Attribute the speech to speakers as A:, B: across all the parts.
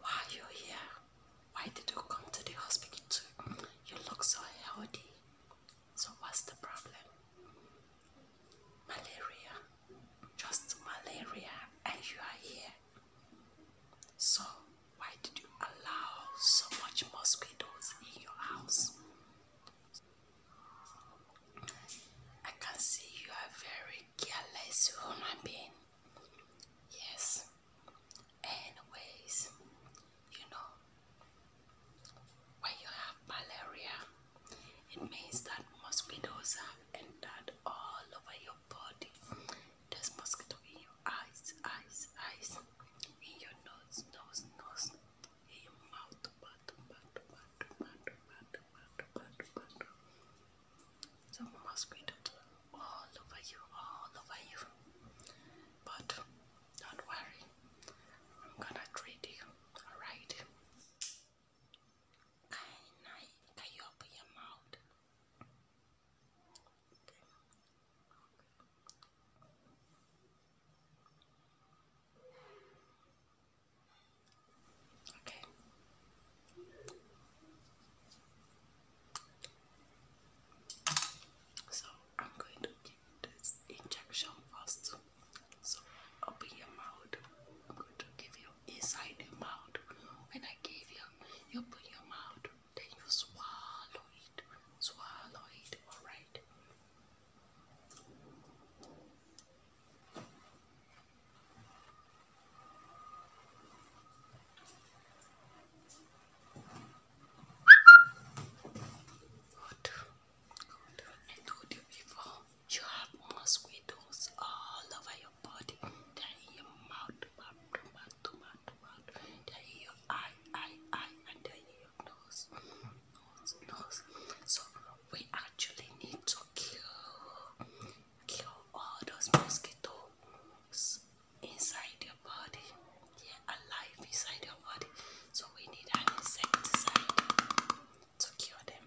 A: Why are you here? Why did you come to the hospital too? You look so healthy. So what's the problem? Malaria. Just malaria and you are here. So why did you allow so much mosquitoes in your house? I can see you are very careless human being. Yes. Anyways, you know, when you have malaria, it means that mosquitoes have entered all over your body. There's mosquito in your eyes, eyes, eyes, in your nose, nose, nose, your mouth. Butter, butter, butter, butter, butter, butter, butter, butter. So mosquitoes all over you, all over you. But don't worry, I'm gonna treat you, alright? Can I can you open your mouth? Okay. So I'm going to give this injection first. So open your mouth. I'm going to give you inside your mouth. When I give you, you open your mouth. Then you swallow it, swallow it, alright. Good. Good. And do you before you have mosquitoes all over your body, that your mouth, mouth, mouth, mouth, mouth, that in your eye, eye, eye, and that your nose, nose, nose. So we actually need to kill, kill all those mosquitoes inside your body. Yeah, alive inside your body. So we need an insecticide to cure them.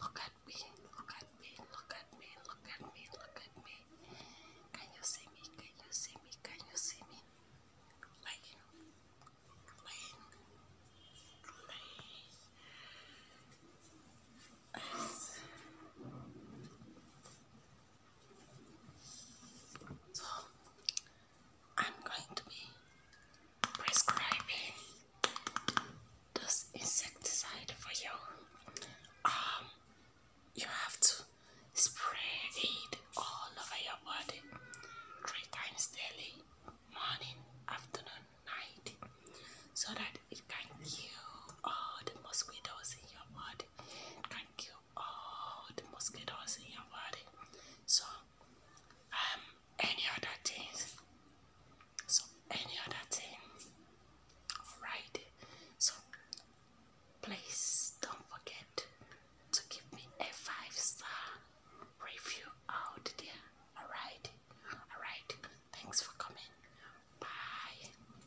A: Look at me, look at me, look at me, look at me, look at me. Can you see me? Can you see me? Can you see me? Lane, lane, lane. So, I'm going to be prescribing this insecticide for you. Um, you have to spray it all over your body three times daily, morning, afternoon, night, so that it can kill all the mosquitoes in your body, it can kill all oh, the mosquitoes in your body. So um any other things. So any other thing. Alright. So please don't forget to give me a five star review out there. Alright. Alright. Thanks for coming. Bye.